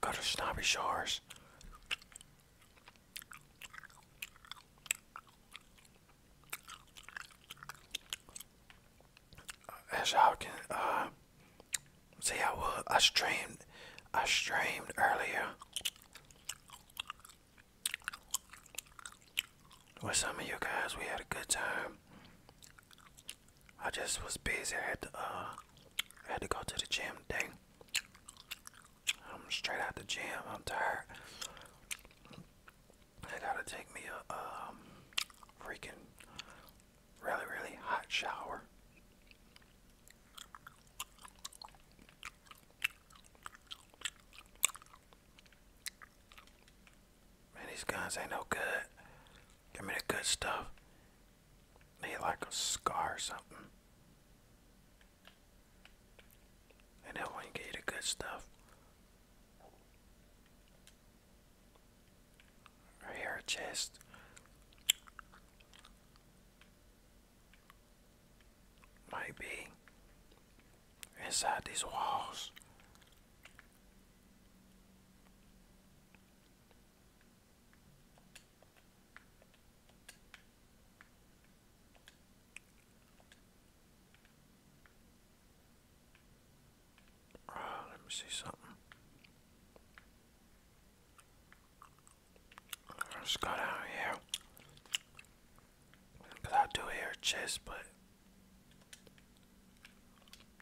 Go to Snobby Shores. As y'all can uh, see, I will. I streamed. I streamed earlier with some of you guys. We had a good time. I just was busy. I had to, uh, I had to go to the gym today. I'm straight out the gym. I'm tired. I gotta take me a um, freaking really really hot shower. Man, these guns ain't no good. Give me the good stuff. Need like a scar or something. And that one gave you the good stuff. here, chest. Might be inside these walls. Ah, let me see something. Let's go down here. I do hear a chest, but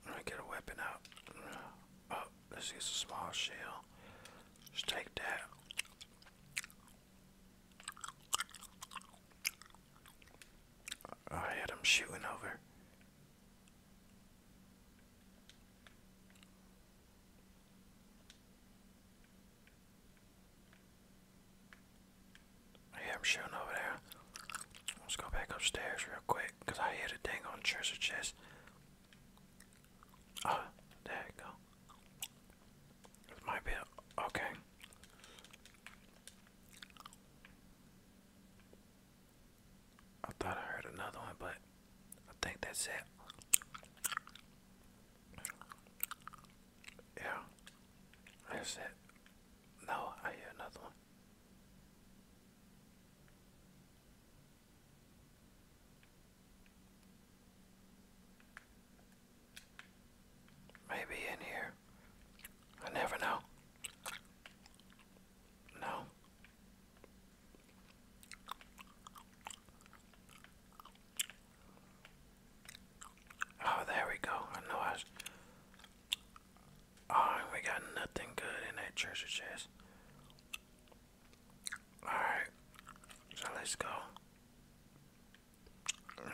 let me get a weapon out. Oh, let's use a small shell. Just take that. I had shooting over. Yeah, I'm shooting over there. Let's go back upstairs real quick, cause I hear the dang on treasure chest. Oh, ah, there you go. This might be a, okay. I thought I heard another one, but I think that's it. Yeah, that's it. No, I hear another one. Maybe in here. I never know. No. Oh, there we go. I know I was Alright, oh, we got nothing good in that treasure chest. Alright, so let's go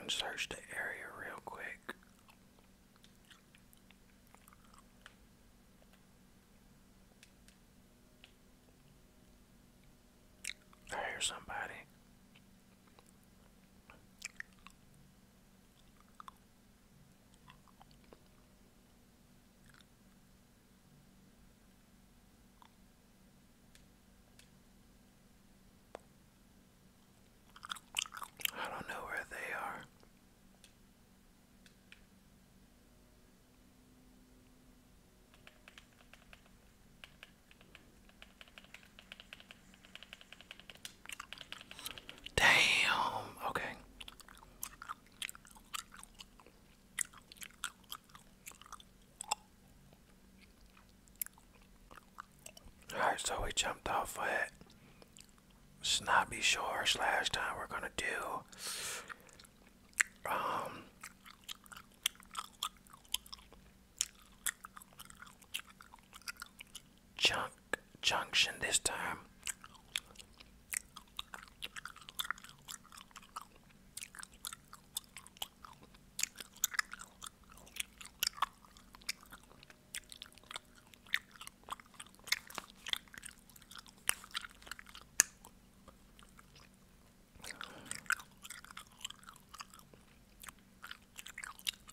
and search the area real quick. I hear somebody. I don't know where they are. Damn. Okay. Alright, so we jumped off at Snobby Shores last time. We're gonna do um junk junction this time.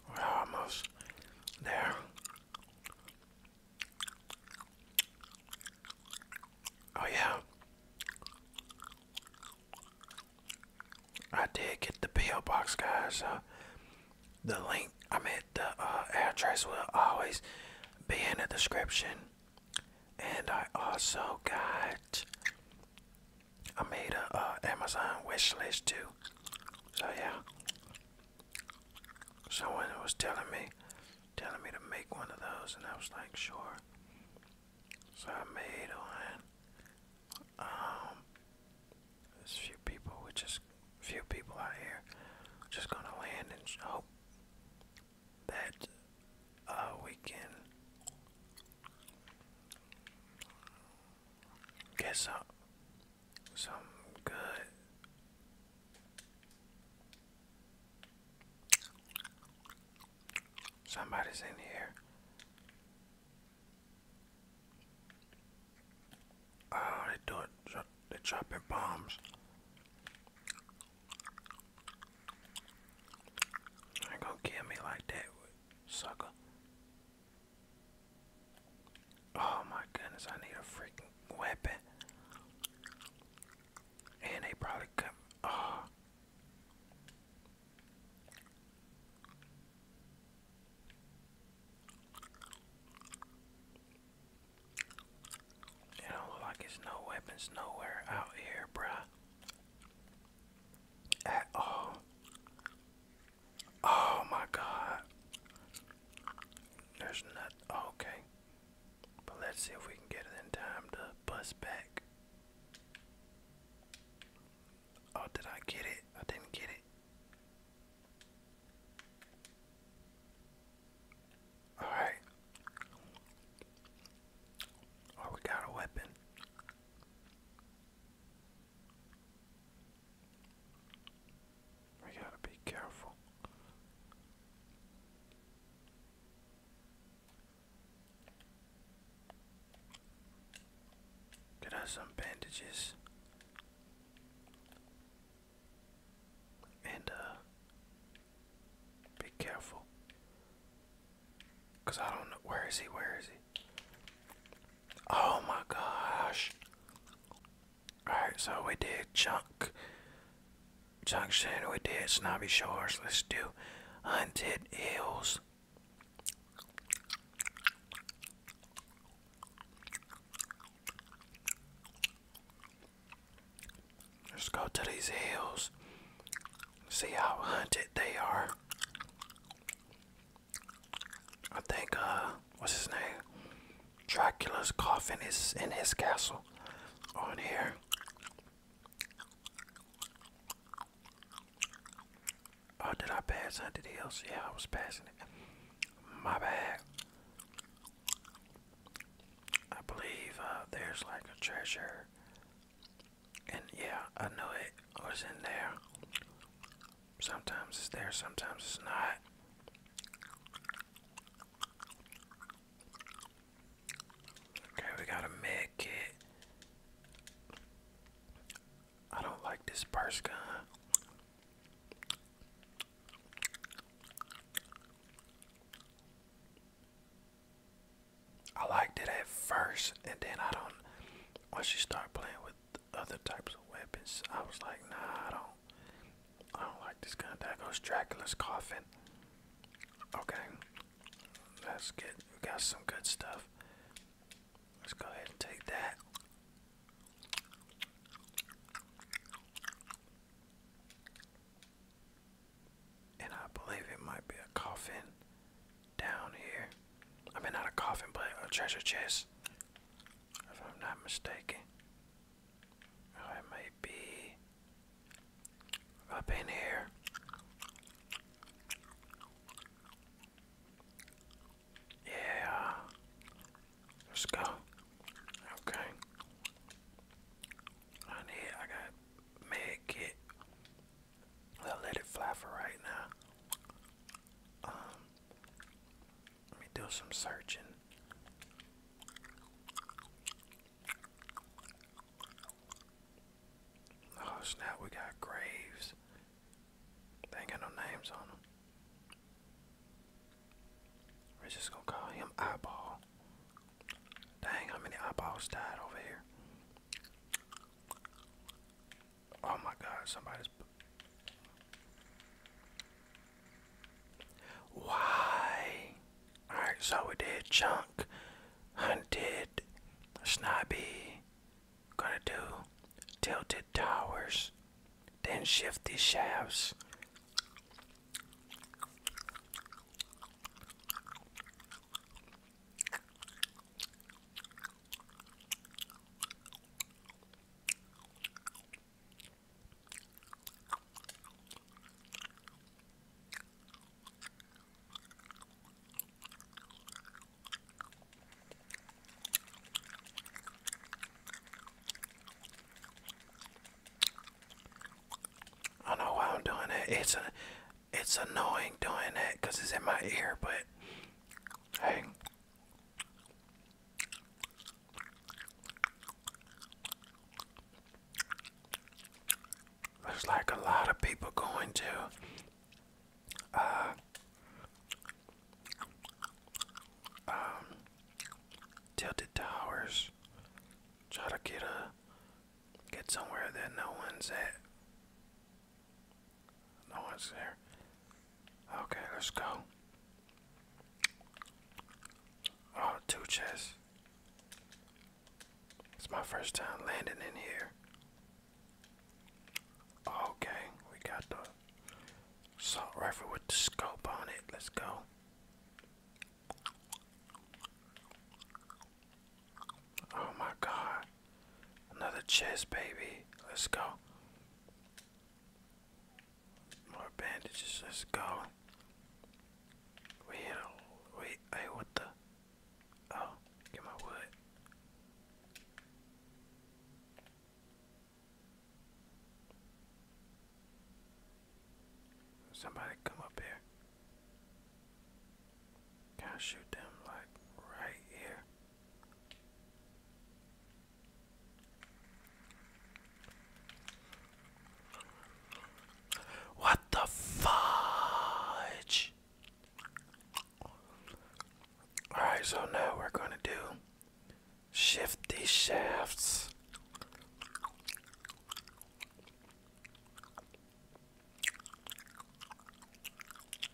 We're almost there. Oh, yeah. I did get the P.O. box, guys. Uh, the link, I mean, the uh, address will always be in the description. And I also got, I made a uh, Amazon wish list too. So, yeah someone was telling me telling me to make one of those and I was like sure so I made one um there's few people which is few people out here just gonna land and hope that uh, we can guess up. Something good. Somebody's in here. Oh, they do it. They're dropping bombs. Ain't gonna kill me like that, sucker. Oh my goodness, I need a freaking weapon. And they probably come. Oh. It don't look like it's no weapons nowhere out here, bruh. At all. Oh my god. There's not okay. But let's see if we can get it in time to bust back. Oh, did I get it? I didn't get it. Alright. Oh, we got a weapon. We gotta be careful. Get us some bandages and uh be careful. Cause I don't know where is he, where is he? Oh my gosh. Alright, so we did Chunk Junction, we did Snobby Shores. Let's do Hunted Hills. Let's go to these hills. See how hunted they are. I think uh what's his name? Dracula's coffin is in his castle on here. Oh, did I pass under hills? Yeah, I was passing it. My bad. I believe uh, there's like a treasure. And yeah, I know it was in there. Sometimes it's there, sometimes it's not. Okay, we got a med kit. I don't like this purse gun. I liked it at first, and then I don't. Once you start playing with other types of weapons. I was like, nah, I don't. I don't like this gun. There goes Dracula's coffin. Okay, that's good. We got some good stuff. Let's go ahead and take that. And I believe it might be a coffin down here. I mean, not a coffin, but a treasure chest if I'm not mistaken. I may be up in here. Yeah, let's go. Okay. I need, I got med kit. I'll let it fly for right now. Um, let me do some searching. Oh snap, we got graves. They got no names on them. We're just gonna call him Eyeball. Dang, how many eyeballs died over here? Oh my god, somebody's. Why? Alright, so we did Chunk, Hunted, Snobby, gonna do Tilted Towers, then Shifty Shafts. I know why I'm doing it. It's a, it's annoying doing it because it's in my ear. But hey, Looks like a lot of people going to uh, um, Tilted Towers. Try to get a get somewhere that no one's at. No one's there. Okay, let's go. Oh, two chests. It's my first time landing in here. Okay, we got the salt rifle with the scope on it. Let's go. Oh my god. Another chest, baby. Let's go. More bandages. Let's go. We Wait, hey, what the? Oh, get my wood. Somebody come up here. Can I shoot them like right here? What the fudge? Alright, so now we're going to do shift these shafts.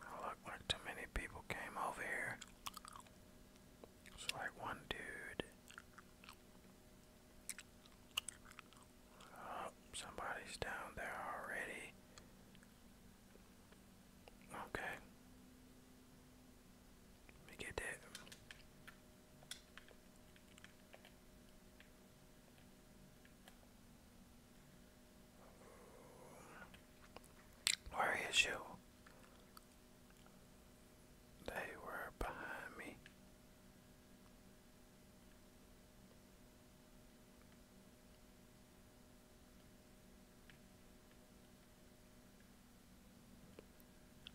Oh, look like too many people came over here. It's like one dude. Oh, somebody's down there already. Okay. Let get that. Where is you? They were behind me.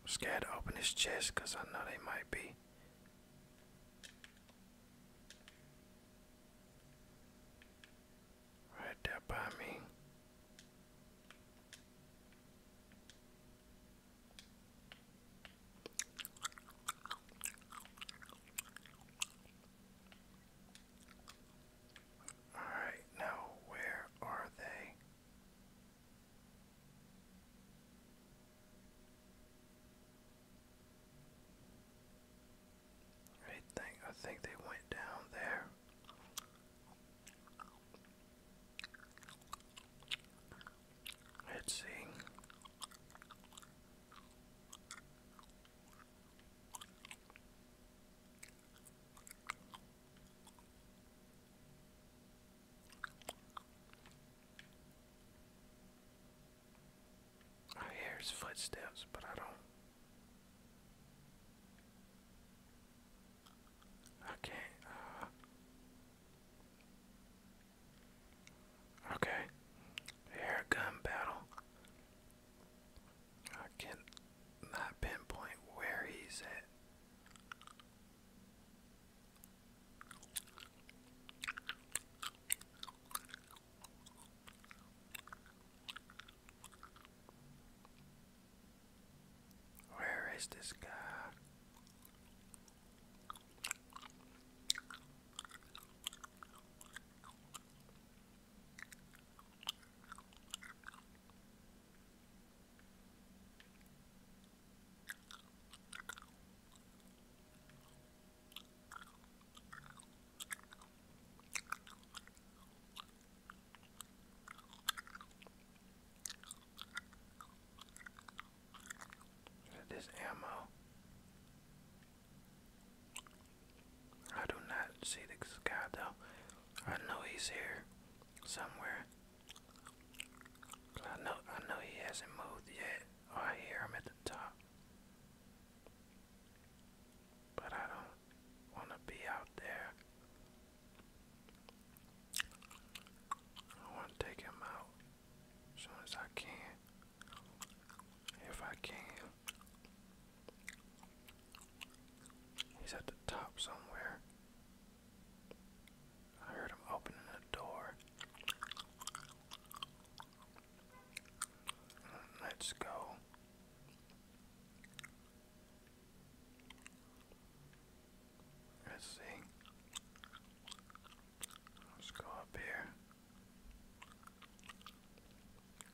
I'm scared to open his chest because I know they might be. Right there by me. Alright, now where are they? I think I think they went down there. Let's see. I hear footsteps, but I don't. I uh, Okay, air gun battle. I can't not pinpoint where he's at. Where is this guy? Is this ammo? I do not see this guy though. I know he's here somewhere. I know I know he hasn't moved yet. Oh, I hear him at the top. But I don't wanna be out there. I wanna take him out as soon as I can. If I can. He's at the top somewhere. I heard him opening the door. Mm, let's go. Let's see. Let's go up here.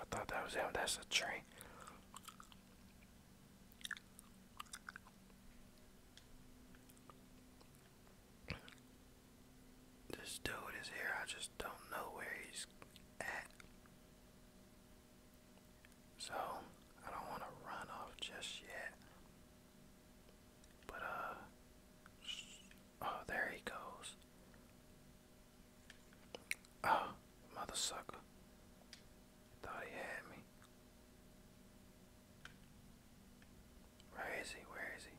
I thought that was him. That's a tree. This dude is here. I just don't know where he's at. So, I don't want to run off just yet. But, uh, oh, there he goes. Oh, mother Thought he had me. Where is he? Where is he?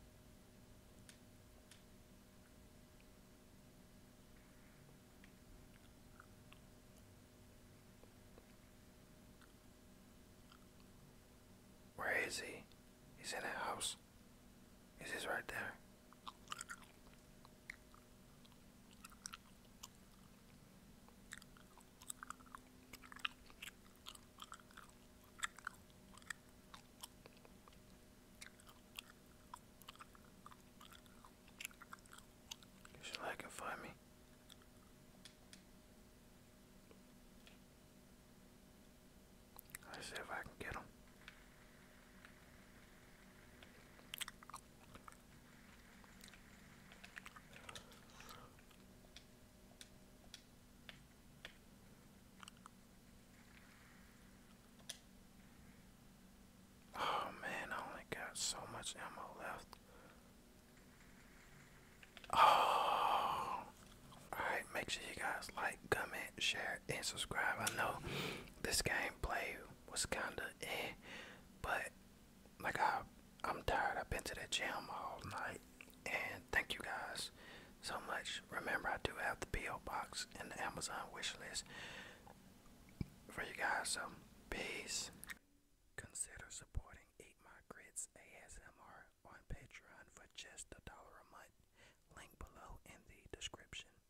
Where is he? He's in that house. Is this right there? You should like and find me. Let's see if I can get him. Oh man, I only got so much ammo left. Oh, all right. Make sure you guys like, comment, share, and subscribe. I know this game play was kinda eh, but like I, I'm tired. I've been to the gym all night, and thank you guys so much. Remember, I do have the PO box and the Amazon wish list for you guys. So peace. Consider supporting Eat My Grits ASMR on Patreon for just a dollar a month. Link below in the description.